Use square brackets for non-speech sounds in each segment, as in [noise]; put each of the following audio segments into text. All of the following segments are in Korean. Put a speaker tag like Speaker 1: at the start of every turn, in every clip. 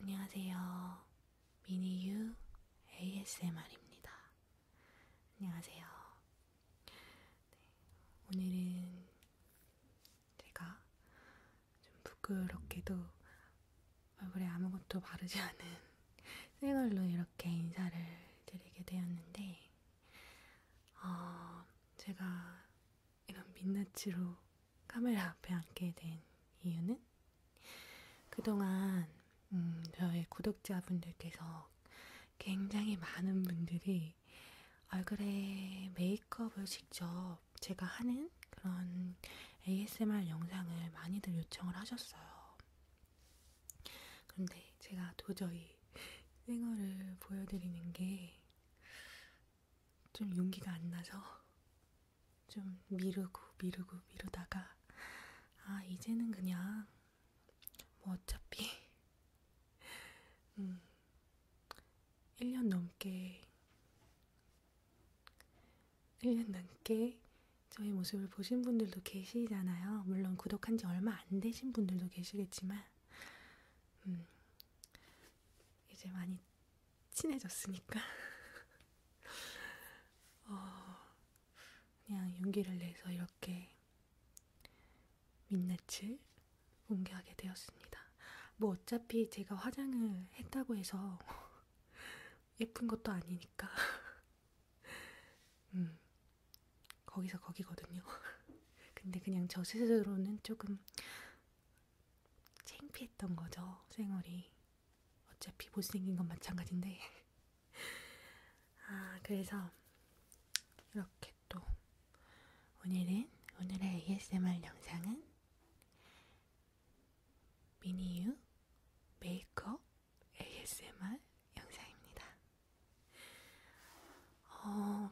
Speaker 1: 안녕하세요. 미니유 ASMR입니다. 안녕하세요. 네, 오늘은 제가 좀 부끄럽게도 얼굴에 아무것도 바르지 [laughs] 않은 생얼로 이렇게 인사를 드리게 되었는데, 어, 제가 이런 민낯으로 카메라 앞에 앉게 된 이유는 그동안 음, 저의 구독자분들께서 굉장히 많은 분들이 얼굴에 메이크업을 직접 제가 하는 그런 ASMR 영상을 많이들 요청을 하셨어요. 그런데 제가 도저히 생얼을 보여드리는 게 좀 용기가 안 나서 좀 미루고 미루고 미루다가 아 이제는 그냥 뭐 어차피 음 1년 넘게 1년 넘게 저의 모습을 보신 분들도 계시잖아요. 물론 구독한 지 얼마 안 되신 분들도 계시겠지만 음 이제 많이 친해졌으니까 [laughs] 어, 그냥 용기를 내서 이렇게 민낯을 공개하게 되었습니다. 뭐 어차피 제가 화장을 했다고 해서 [laughs] 예쁜 것도 아니니까 [laughs] 음, 거기서 거기거든요. 근데 그냥 저 스스로는 조금 창피했던 거죠, 생얼이. 어차피 못생긴 건 마찬가지인데. [laughs] 아, 그래서 이렇게 또 오늘은 오늘의 ASMR 영상은 미니유 메이크업 ASMR 영상입니다. 어,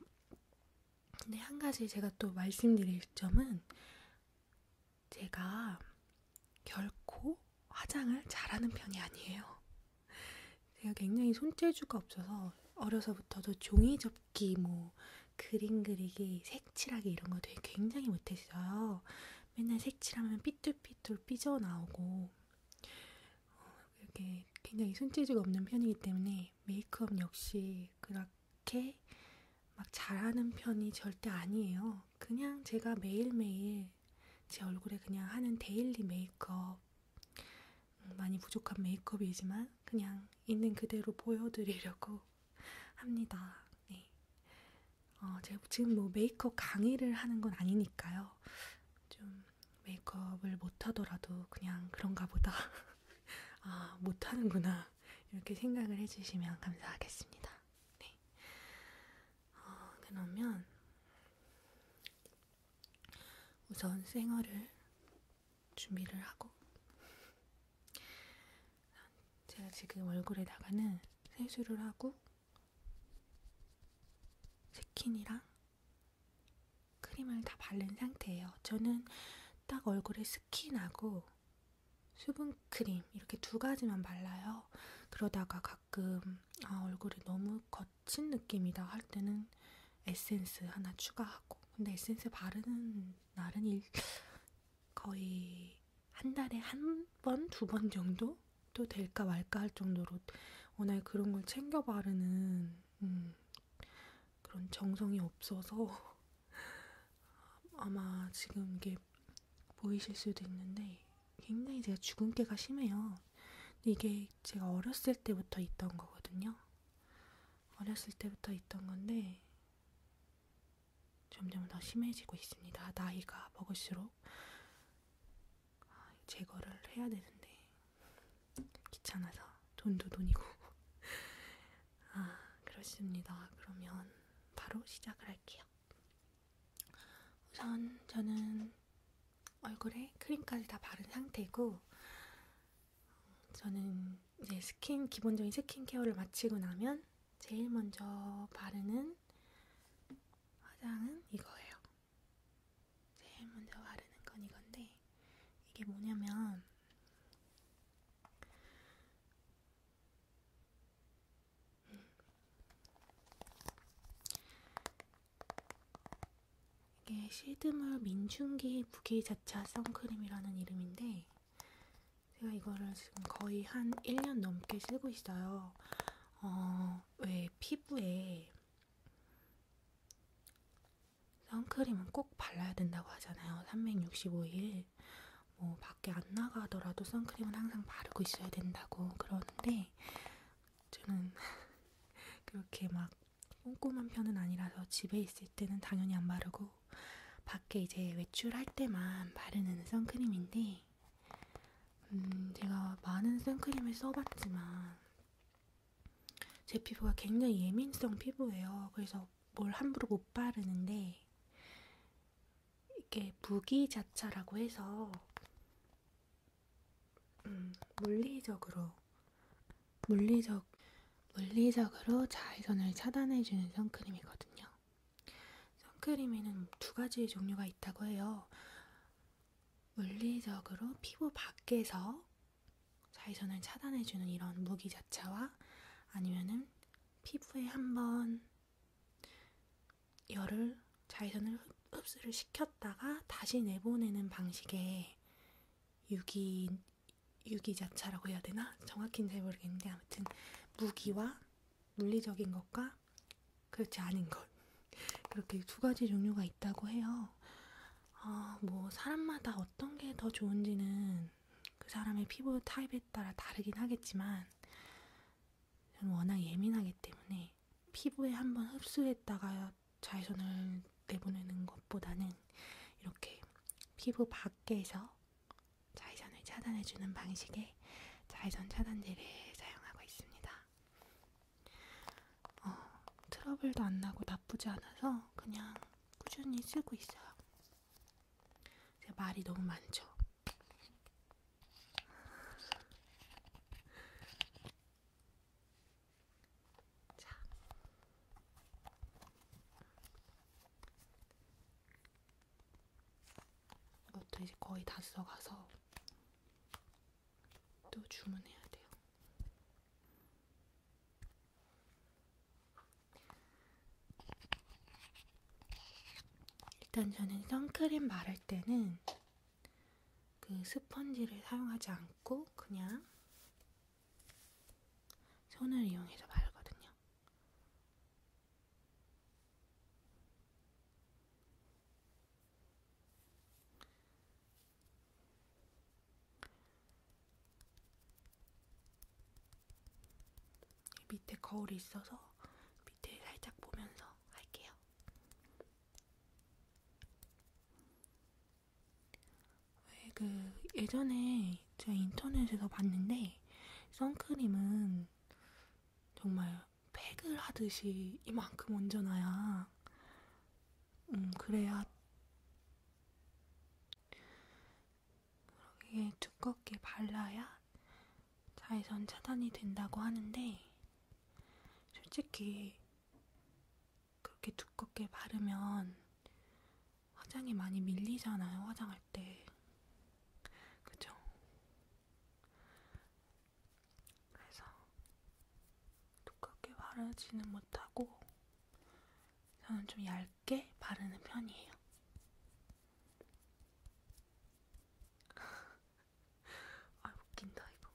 Speaker 1: 근데 한 가지 제가 또 말씀드릴 점은 제가 결코 화장을 잘하는 편이 아니에요. 제가 굉장히 손재주가 없어서 어려서부터도 종이 접기, 뭐 그림 그리기, 색칠하기 이런 거 되게 굉장히 못했어요. 맨날 색칠하면 삐뚤삐뚤 삐져나오고 어, 이렇게 굉장히 손재주가 없는 편이기 때문에 메이크업 역시 그닥 그렇게 막 잘하는 편이 절대 아니에요. 그냥 제가 매일매일 제 얼굴에 그냥 하는 데일리 메이크업, 음, 많이 부족한 메이크업이지만 그냥 있는 그대로 보여드리려고 [laughs] 합니다. 네. 어, 제가 지금 뭐 메이크업 강의를 하는 건 아니니까요. 좀 메이크업을 못하더라도 그냥 그런가 보다. [laughs] 아, 못하는구나. 않을까 이렇게 생각을 해주시면 감사하겠습니다. 네. 어, 그러면 우선 생얼을 준비를 하고 제가 지금 얼굴에다가는 세수를 하고 스킨이랑 크림을 다 바른 상태예요. 저는 딱 얼굴에 스킨하고 수분크림 이렇게 두 가지만 발라요. 그러다가 가끔 아, 얼굴이 너무 거친 느낌이다 할 때는 에센스 하나 추가하고 근데 에센스 바르는 날은 일, 거의 한 달에 한 번, 두 번 정도? 또 될까 말까 할 정도로 워낙 그런 걸 챙겨 바르는 음, 그런 정성이 없어서 [laughs] 아마 지금 이게 보이실 수도 있는데 굉장히 제가 주근깨가 심해요. 이게 제가 어렸을 때부터 있던 거거든요. 어렸을 때부터 있던 건데 점점 더 심해지고 있습니다. 나이가 먹을수록 아, 제거를 해야 되는데 귀찮아서 돈도 돈이고 아, 그렇습니다. 그러면 바로 시작을 할게요. 우선 저는 얼굴에 크림까지 다 바른 상태고, 저는 이제 스킨, 기본적인 스킨케어를 마치고 나면 제일 먼저 바르는 화장은 이거예요. 제일 먼저 바르는 건 이건데, 이게 뭐냐면, 이게 실드물 민중기 부기자차 선크림이라는 이름인데 제가 이거를 지금 거의 한 1년 넘게 쓰고 있어요. 어, 왜 피부에 선크림은 꼭 발라야 된다고 하잖아요. 365일 뭐 밖에 안 나가더라도 선크림은 항상 바르고 있어야 된다고 그러는데 저는 [laughs] 그렇게 막 꼼꼼한 편은 아니라서 집에 있을 때는 당연히 안 바르고 밖에 이제 외출할 때만 바르는 선크림인데 음 제가 많은 선크림을 써봤지만 제 피부가 굉장히 예민성 피부예요. 그래서 뭘 함부로 못 바르는데 이게 무기자차라고 해서 음, 물리적으로 물리적 물리적으로 자외선을 차단해주는 선크림이거든요. 선크림에는 두 가지 종류가 있다고 해요. 물리적으로 피부 밖에서 자외선을 차단해주는 이런 무기 자체와 아니면은 피부에 한번 열을 자외선을 흡수를 시켰다가 다시 내보내는 방식의 유기 유기자차라고 해야 되나 정확히는 잘 모르겠는데 아무튼 무기와 물리적인 것과 그렇지 않은 것 그렇게 두 가지 종류가 있다고 해요. 어, 뭐 사람마다 어떤 게 더 좋은지는 그 사람의 피부 타입에 따라 다르긴 하겠지만 저는 워낙 예민하기 때문에 피부에 한번 흡수했다가 자외선을 내보내는 것보다는 이렇게 피부 밖에서 자외선을 차단해주는 방식의 자외선 차단제를 사용하고 있습니다. 어, 트러블도 안 나고 나쁘지 않아서 그냥 꾸준히 쓰고 있어요. 제가 말이 너무 많죠. 자. 이것도 이제 거의 다 써가서 또 주문해야 돼요. 일단 저는 선크림 바를 때는 그 스펀지를 사용하지 않고 그냥 손을 이용해서 바르거든요. 밑에 거울이 있어서 밑에 살짝 보면서 할게요. 왜 그 예전에 제가 인터넷에서 봤는데 선크림은 정말 팩을 하듯이 이만큼 얹어놔야 음 그래야 그러기에 두껍게 발라야 자외선 차단이 된다고 하는데 솔직히 그렇게 두껍게 바르면 화장이 많이 밀리잖아요. 화장할 때. 그죠? 그래서 두껍게 바르지는 못하고 저는 좀 얇게 바르는 편이에요. [laughs] 아, 웃긴다, 이거.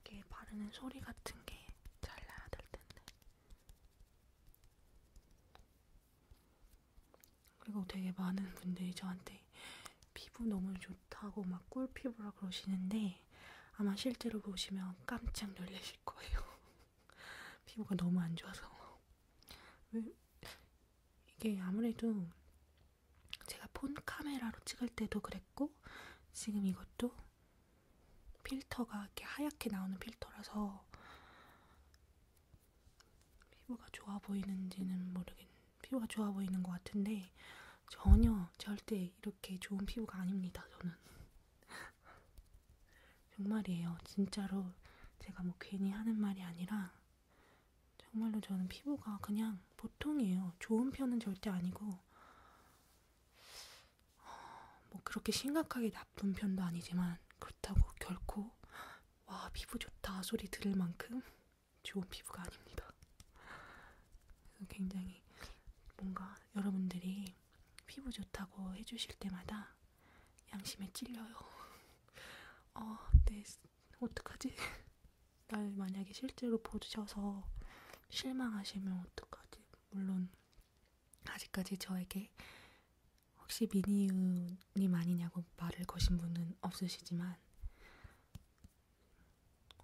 Speaker 1: 이게 바르는 소리 같은 게 잘 나야 될 텐데. 그리고 되게 많은 분들이 저한테 피부 너무 좋 좋다고 막 꿀피부라 그러시는데 아마 실제로 보시면 깜짝 놀라실 거예요. [laughs] 피부가 너무 안 좋아서. 왜? 이게 아무래도 제가 폰 카메라로 찍을 때도 그랬고 지금 이것도 필터가 이렇게 하얗게 나오는 필터라서 피부가 좋아 보이는지는 모르겠는데 피부가 좋아 보이는 것 같은데 전혀 절대 이렇게 좋은 피부가 아닙니다. 저는 [laughs] 정말이에요. 진짜로 제가 뭐 괜히 하는 말이 아니라 정말로 저는 피부가 그냥 보통이에요. 좋은 편은 절대 아니고 어, 뭐 그렇게 심각하게 나쁜 편도 아니지만 그렇다고 결코 와 피부 좋다 소리 들을 만큼 좋은 피부가 아닙니다. 그래서 굉장히 뭔가 여러분들이 피부 좋다고 해주실 때마다 양심에 찔려요. [laughs] 어, 네, 어떡하지? [laughs] 날 만약에 실제로 보셔서 실망하시면 어떡하지? 물론 아직까지 저에게 혹시 미니유님 아니냐고 말을 거신 분은 없으시지만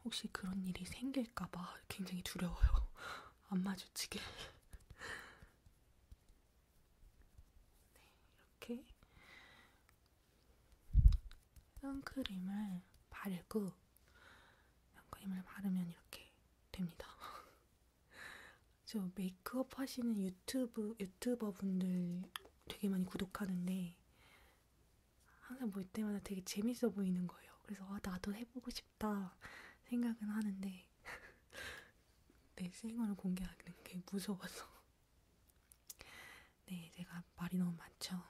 Speaker 1: 혹시 그런 일이 생길까봐 굉장히 두려워요. [laughs] 안 마주치게. [laughs] 네, 이렇게 선크림을 바르고 선크림을 바르면 이렇게 됩니다. [laughs] 저 메이크업 하시는 유튜브 유튜버 분들 되게 많이 구독하는데 항상 볼 때마다 되게 재밌어 보이는 거예요. 그래서 아, 나도 해보고 싶다 생각은 하는데 [laughs] 내 생얼을 공개하는 게 무서워서 네 제가 말이 너무 많죠.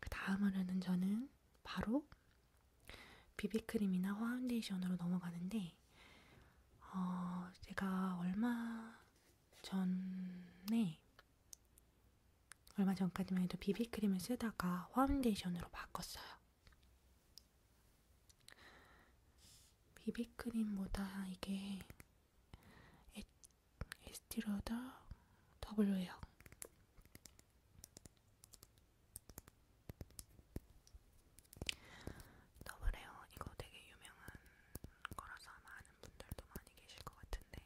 Speaker 1: 그 다음으로는 저는 바로 비비크림이나 파운데이션으로 넘어가는데 어, 제가 얼마 전에 얼마 전까지만 해도 비비크림을 쓰다가 파운데이션으로 바꿨어요. 비비크림보다 이게 에, 에스티로더 W예요. 더블에어 이거 되게 유명한 거라서 아마 아는 분들도 많이 계실 것 같은데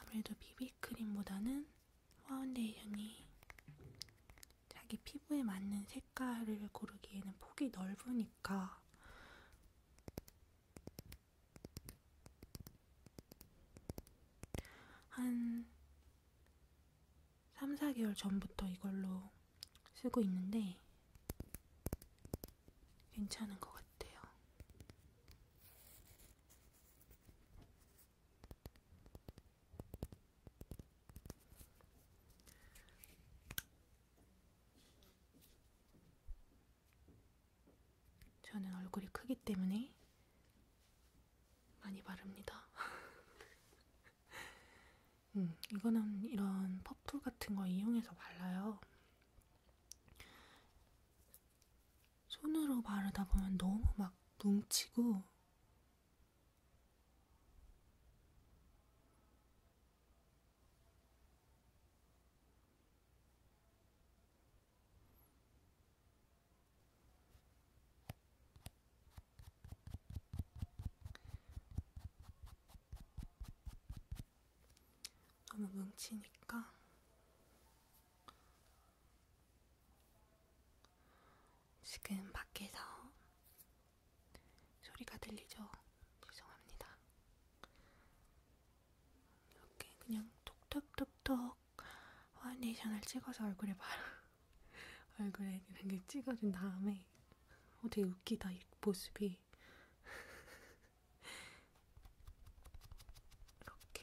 Speaker 1: 아무래도 비비크림보다는 파운데이션이 자기 피부에 맞는 색깔을 고르기에는 폭이 넓으니까 한 3, 4개월 전부터 이걸로 쓰고 있는데 괜찮은 것 같아요. 저는 얼굴이 크기 때문에 많이 바릅니다. [laughs] 음, 이거는 이런 퍼프 같은 거 이용해서 발라요. 손으로 바르다 보면 너무 막 뭉치고 너무 뭉치니까 지금 밖에서 소리가 들리죠? 죄송합니다. 이렇게 그냥 톡톡톡톡 막 파운데이션을 찍어서 얼굴에 바르 [laughs] 얼굴에 이런 게 찍어준 다음에 어 되게 웃기다 이 모습이 [laughs] 이렇게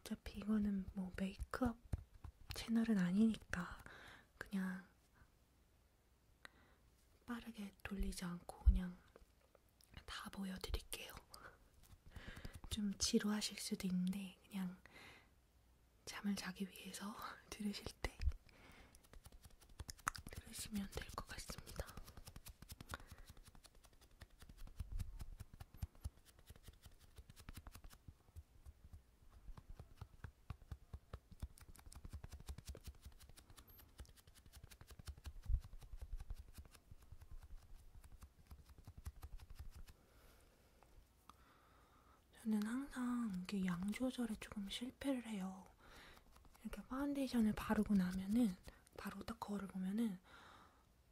Speaker 1: 어차피 이거는 뭐 메이크업 채널은 아니니까 그냥 빠르게 돌리지 않고 그냥 다 보여드릴게요. [laughs] 좀 지루하실 수도 있는데 그냥 잠을 자기 위해서 [laughs] 들으실 때 들으시면 될 것 같습니다. 저는 항상 이게 양 조절에 조금 실패를 해요. 이렇게 파운데이션을 바르고 나면은 바로 딱 거울을 보면은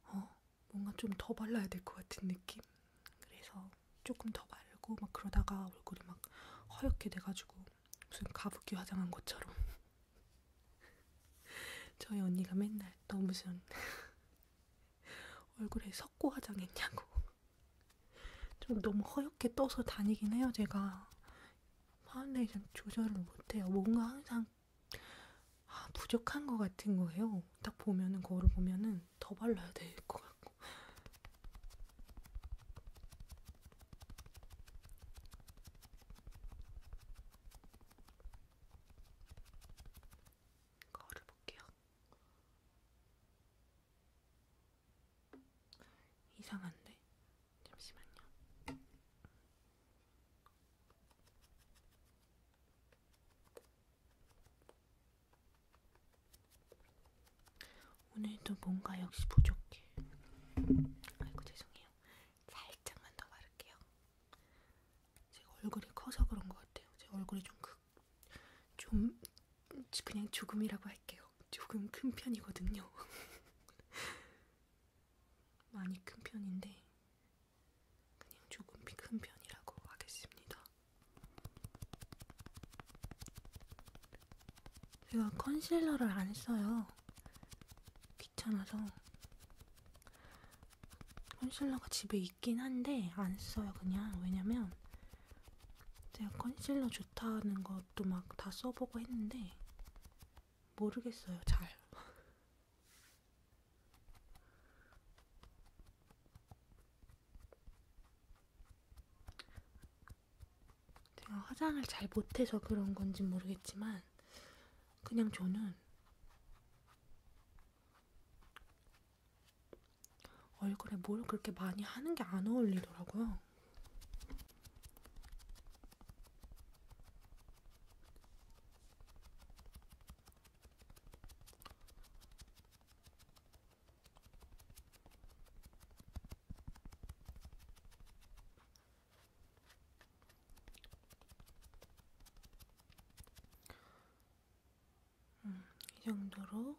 Speaker 1: 어 뭔가 좀 더 발라야 될 것 같은 느낌. 그래서 조금 더 바르고 막 그러다가 얼굴이 막 허옇게 돼가지고 무슨 가부키 화장한 것처럼. [laughs] 저희 언니가 맨날 너 무슨 [laughs] 얼굴에 석고 화장했냐고. 좀 너무 허옇게 떠서 다니긴 해요 제가 파운데이션 조절을 못해요. 뭔가 항상 아, 부족한 것 같은 거예요. 딱 보면은 거울을 보면은 더 발라야 될 것 같고. 거울을 볼게요. 이상한데? 잠시만요. 오늘도 뭔가 역시 부족해. 아이고 죄송해요. 살짝만 더 바를게요. 제가 얼굴이 커서 그런 것 같아요. 제 얼굴이 좀 크, 좀 그냥 조금이라고 할게요. 조금 큰 편이거든요. [laughs] 많이 큰 편인데 그냥 조금 큰 편이라고 하겠습니다. 제가 컨실러를 안 써요. 귀찮아서. 컨실러가 집에 있긴 한데 안 써요 그냥 왜냐면 제가 컨실러 좋다는 것도 막 다 써보고 했는데 모르겠어요, 잘. [laughs] 제가 화장을 잘 못해서 그런 건지 모르겠지만, 그냥 저는 얼굴에 뭘 그렇게 많이 하는 게 안 어울리더라고요. 음, 이 정도로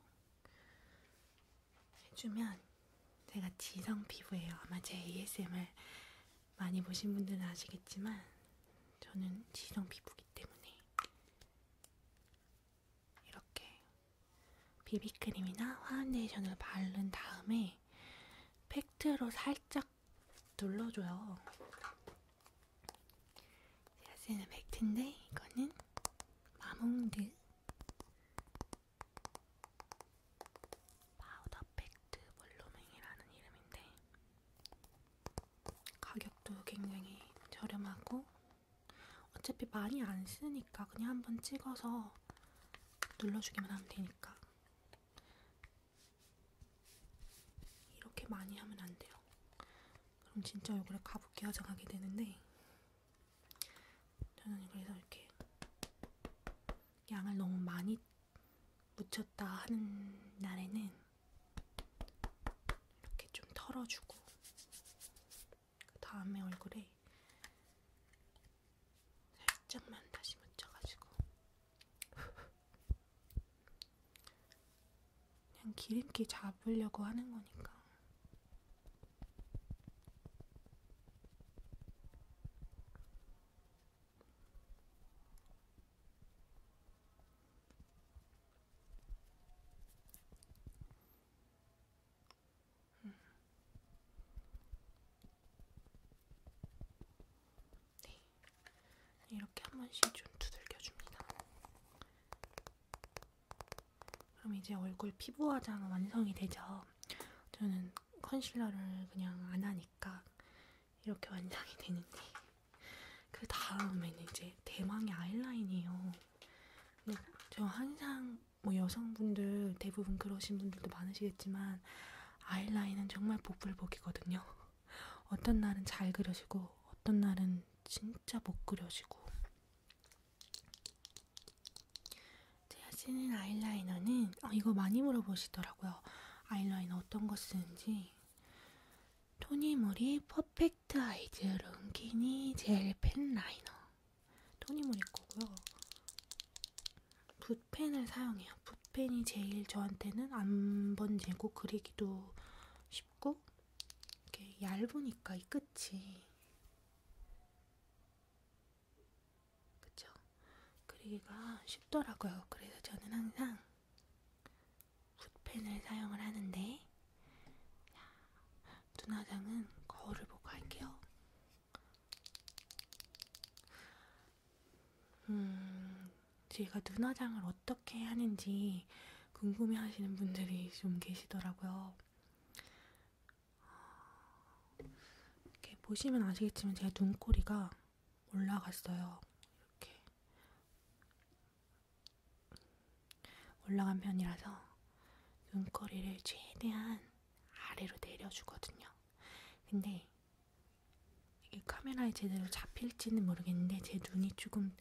Speaker 1: 해주면 제가 지성 피부예요. 아마 제 ASMR 많이 보신 분들은 아시겠지만 저는 지성 피부기 때문에 이렇게 비비크림이나 파운데이션을 바른 다음에 팩트로 살짝 눌러줘요. 제가 쓰는 팩트인데 이거는 마몽드 파우더 팩트 볼루밍이라는 이름인데 가격도 굉장히 저렴하고 어차피 많이 안 쓰니까 그냥 한번 찍어서 눌러주기만 하면 되니까 이렇게 많이 하면 안 돼요. 그럼 진짜 얼굴에 가볍게 화장하게 되는데 저는 그래서 이렇게 양을 너무 많이 묻혔다 하는 날에는 이렇게 좀 털어주고 그 다음에 얼굴에 살짝만 다시 묻혀가지고 그냥 기름기 잡으려고 하는 거니까 음. 네. 이렇게 한 번씩 좀 두들겨줍니다. 그럼 이제 얼굴 피부 화장 완성이 되죠. 저는 컨실러를 그냥 안 하니까 이렇게 완성이 되는데 [laughs] 그 다음에는 이제 대망의 아이라인이에요. 근데 저 항상 뭐 여성분들 대부분 그러신 분들도 많으시겠지만 아이라인은 정말 복불복이거든요. [laughs] 어떤 날은 잘 그려지고 어떤 날은 진짜 못 그려지고 제가 쓰는 아이라이너는 어, 이거 많이 물어보시더라고요. 아이라이너 어떤 거 쓰는지 토니모리 퍼펙트 아이즈 롱키니 젤 펜 라이너 토니모리 거고요. 붓펜을 사용해요. 붓펜이 제일 저한테는 안 번지고 그리기도 쉽고 이렇게 얇으니까 이 끝이 그쵸? 그리기가 쉽더라고요. 그래서 저는 항상 붓펜을 사용을 하는데 눈화장은 거울을 보고 할게요. 음, 제가 눈화장을 어떻게 하는지 궁금해 하시는 분들이 좀 계시더라고요. 이렇게 보시면 아시겠지만 제가 눈꼬리가 올라갔어요. 이렇게 올라간 편이라서 눈꼬리를 최대한 아래로 내려주거든요. 근데 이 카메라에 제대로 잡힐지는 모르겠는데 제 눈이 조금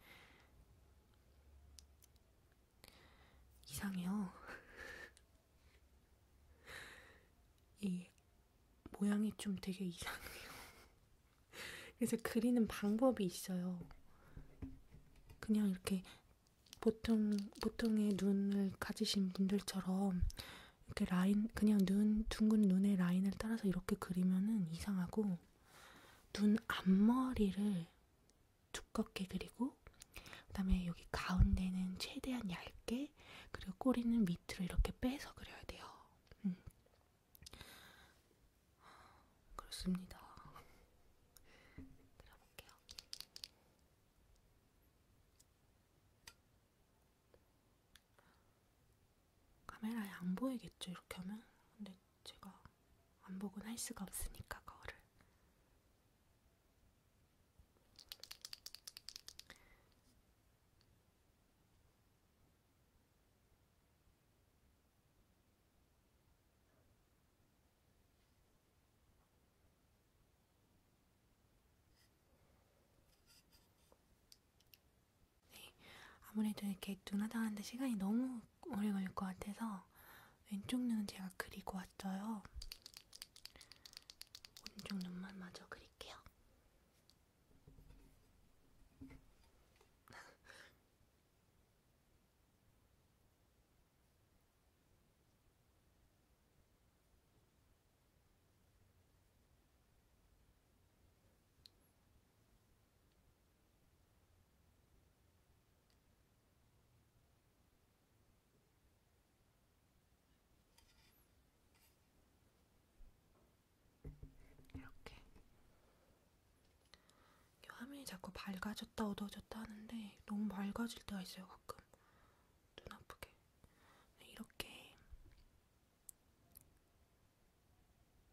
Speaker 1: 이상해요. [laughs] 이 모양이 좀 되게 이상해요. [laughs] 그래서 그리는 방법이 있어요. 그냥 이렇게 보통 보통의 눈을 가지신 분들처럼 이렇게 라인 그냥 눈 둥근 눈의 라인을 따라서 이렇게 그리면은 이상하고 눈 앞머리를 두껍게 그리 그리고 그다음에 여기 가운데는 최대한 얇게 그리고 꼬리는 밑으로 이렇게 빼서 그려야 돼요. 음. 그렇습니다. 그려볼게요. 카메라에 안 보이겠죠? 이렇게 하면? 근데 제가 안 보곤 할 수가 없으니까 거울을 네, 아무래도 이렇게 눈 화장하는데 시간이 너무 오래 걸릴 것 같아서 왼쪽 눈은 제가 그리고 왔어요. 오른쪽 눈만 마저 그릴게요. 이렇게 화면이 자꾸 밝아졌다 어두워졌다 하는데 너무 밝아질 때가 있어요 가끔 눈 아프게 네, 이렇게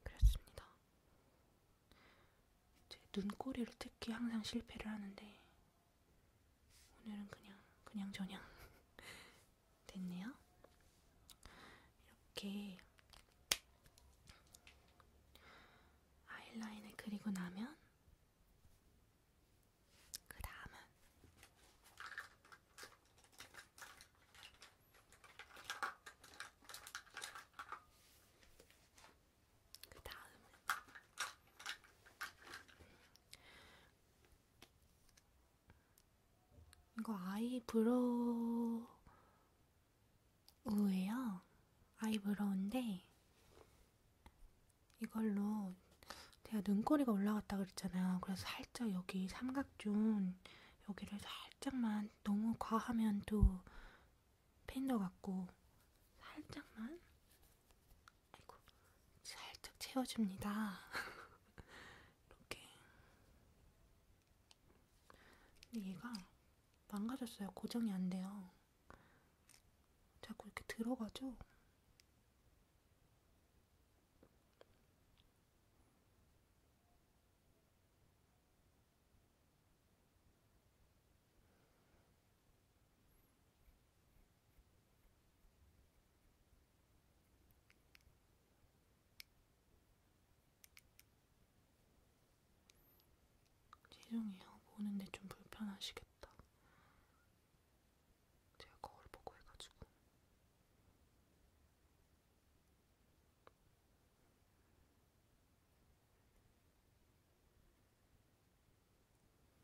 Speaker 1: 그렸습니다. 제 눈꼬리를 특히 항상 실패를 하는데 오늘은 그냥 그냥 저냥 [laughs] 됐네요. 이렇게 아이라인을 그리고 나면 그 다음은 그 다음은 이거 아이브로우예요. 아이브로우인데 이걸로 제가 눈꼬리가 올라갔다 그랬잖아요. 그래서 살짝 여기 삼각존 여기를 살짝만 너무 과하면 또 팬더 같고 살짝만 아이고, 살짝 채워줍니다. [laughs] 이렇게. 근데 얘가 망가졌어요. 고정이 안 돼요. 자꾸 이렇게 들어가죠? 죄송해요. 보는데 좀 불편하시겠다. 제가 거울 보고 해가지고.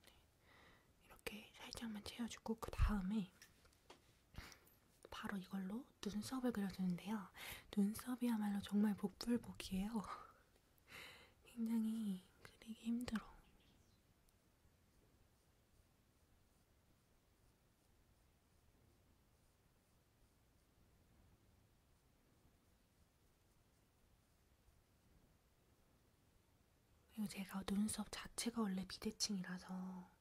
Speaker 1: 네. 이렇게 살짝만 채워주고 그 다음에 바로 이걸로 눈썹을 그려주는데요. 눈썹이야말로 정말 복불복이에요. [laughs] 굉장히 그리기 힘들어. 그리고 제가 눈썹 자체가 원래 비대칭이라서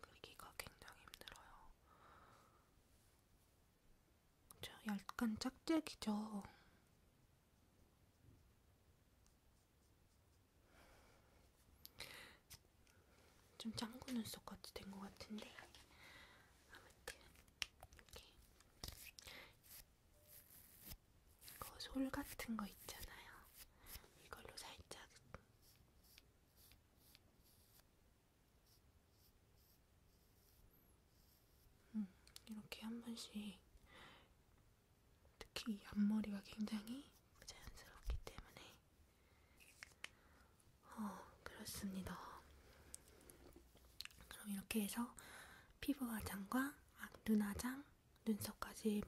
Speaker 1: 그리기가 굉장히 힘들어요. 저 약간 짝짝이죠. 좀 짱구 눈썹같이 된 것 같은데 아무튼 이렇게 그 솔 같은 거 있잖아요. 이걸로 살짝 음, 이렇게 한 번씩 특히 이 앞머리가 굉장히 자연스럽기 때문에 어 그렇습니다. 그럼 이렇게 해서 피부 화장과 아, 눈 화장, 눈썹까지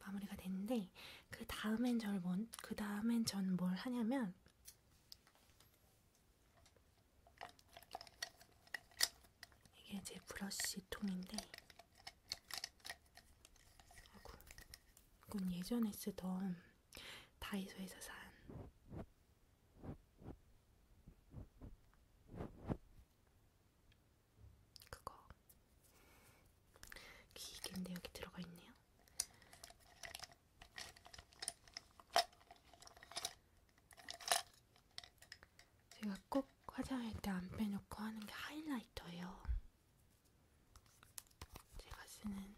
Speaker 1: 마무리가 됐는데 그 다음엔 절 뭔? 그 다음엔 전 뭘 하냐면 이게 제 브러쉬 통인데, 아구, 이건 예전에 쓰던 다이소에서 산 그거 기계인데 여기 들어가 있네요. 제가 꼭 화장할 때 안 빼놓고 하는 게 하이라이터예요. 제가 쓰는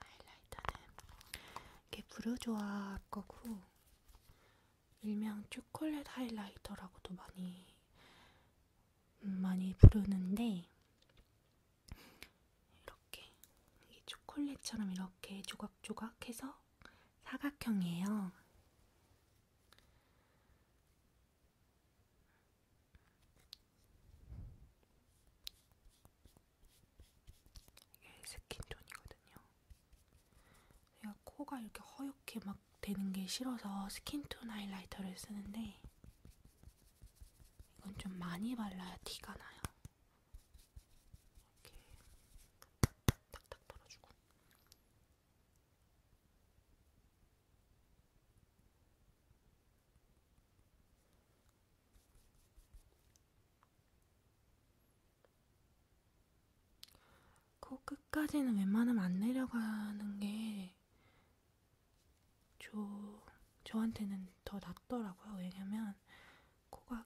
Speaker 1: 하이라이터는 이게 브루조아 거고 일명 초콜릿 하이라이터라고도 많이 많이 부르는데 이렇게 초콜릿처럼 이렇게 조각조각해서 사각형이에요. 이게 스킨톤이거든요. 제가 코가 이렇게 허옇게 막 되는 게 싫어서 스킨톤 하이라이터를 쓰는데 이건 좀 많이 발라야 티가 나요. 이렇게 탁탁 털어주고 코 끝까지는 웬만하면 안 내려가는 게 저, 저한테는 더 낫더라고요. 왜냐면 코가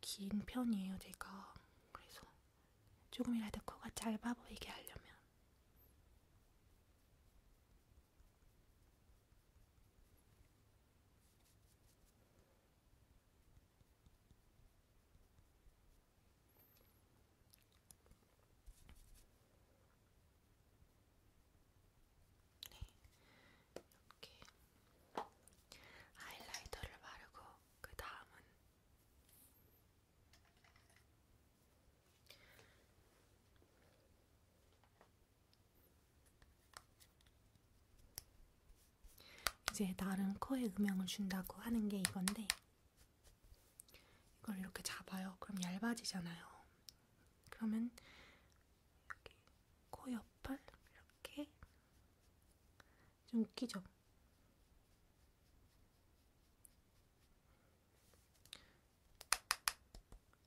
Speaker 1: 긴 편이에요, 제가. 그래서 조금이라도 코가 짧아 보이게 하려면. 네. 이렇게 하이라이터를 바르고 그 다음은 이제 나름 코에 음영을 준다고 하는 게 이건데 이걸 이렇게 잡아요. 그럼 얇아지잖아요. 그러면 여기 코 옆을 이렇게 좀 웃기죠?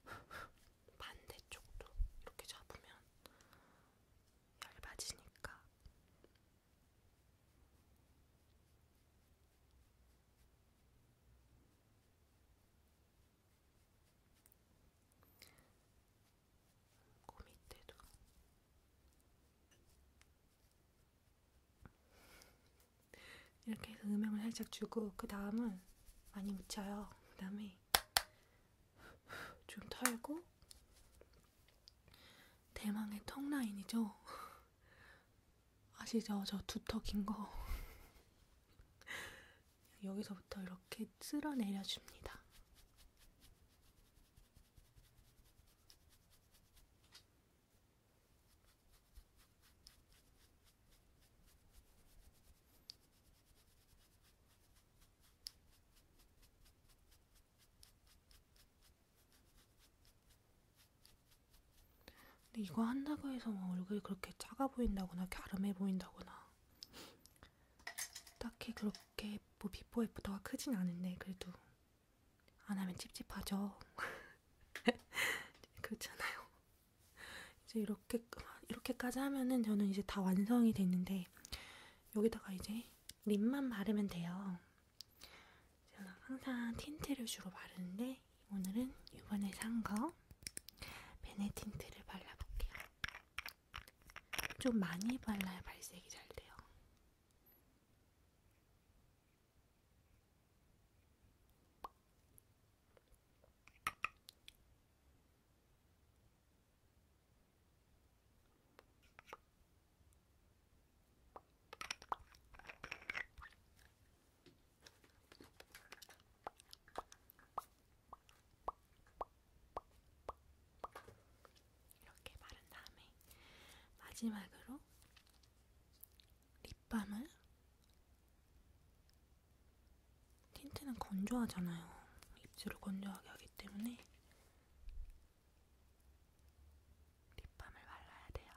Speaker 1: [laughs] 반대쪽도 이렇게 잡으면 얇아지니까 고민 때도 이렇게 해서 음영을 살짝 주고 그 다음은 많이 묻혀요. 그 다음에 좀 털고 대망의 턱 라인이죠. 아시죠? 저 두턱인 거. 여기서부터 이렇게 쓸어내려 줍니다. 근데 이거 한다고 해서 막 뭐 얼굴이 그렇게 작아 보인다거나 갸름해 보인다거나 딱히 그렇게 뭐 비포 애프터가 크진 않은데 그래도 안 하면 찝찝하죠. [laughs] 그렇잖아요. 이제 이렇게 이렇게까지 하면은 저는 이제 다 완성이 됐는데 여기다가 이제 립만 바르면 돼요. 제가 항상 틴트를 주로 바르는데 오늘은 이번에 산 거 베네 틴트를 발라볼게요. 좀 많이 발라야 발색이 잘 돼요. 이렇게 바른 다음에 마지막으로 립밤을 틴트는 건조하잖아요. 입술을 건조하게 하기 때문에 립밤을 발라야 돼요.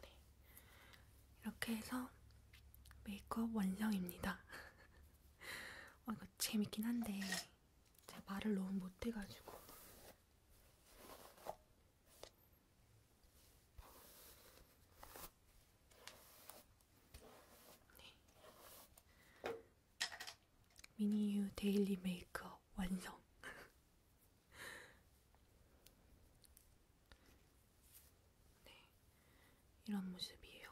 Speaker 1: 네. 이렇게 해서 메이크업 완성입니다. [laughs] 어, 이거 재밌긴 한데 제가 말을 너무 못해가지고 네. 미니유 데일리 메이크업 완성 [laughs] 네, 이런 모습이에요.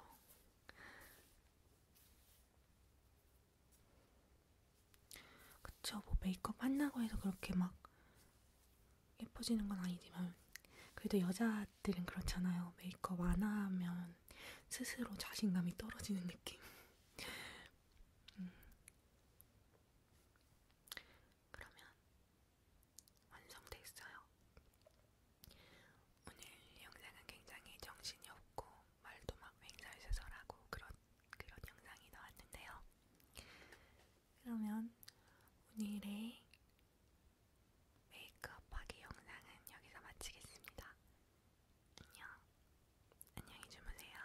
Speaker 1: 그쵸, 뭐 메이크업 한다고 해서 그렇게 막 예뻐지는 건 아니지만, 그래도 여자들은 그렇잖아요. 메이크업 안 하면 스스로 자신감이 떨어지는 느낌. [laughs] 음. 그러면 완성돼 있어요. 오늘 영상은 굉장히 정신이 없고 말도 막 횡설수설하고 그런 그런 영상이 나왔는데요. 그러면 오늘의 메이크업하기 영상은 여기서 마치겠습니다. 안녕, 안녕히 주무세요.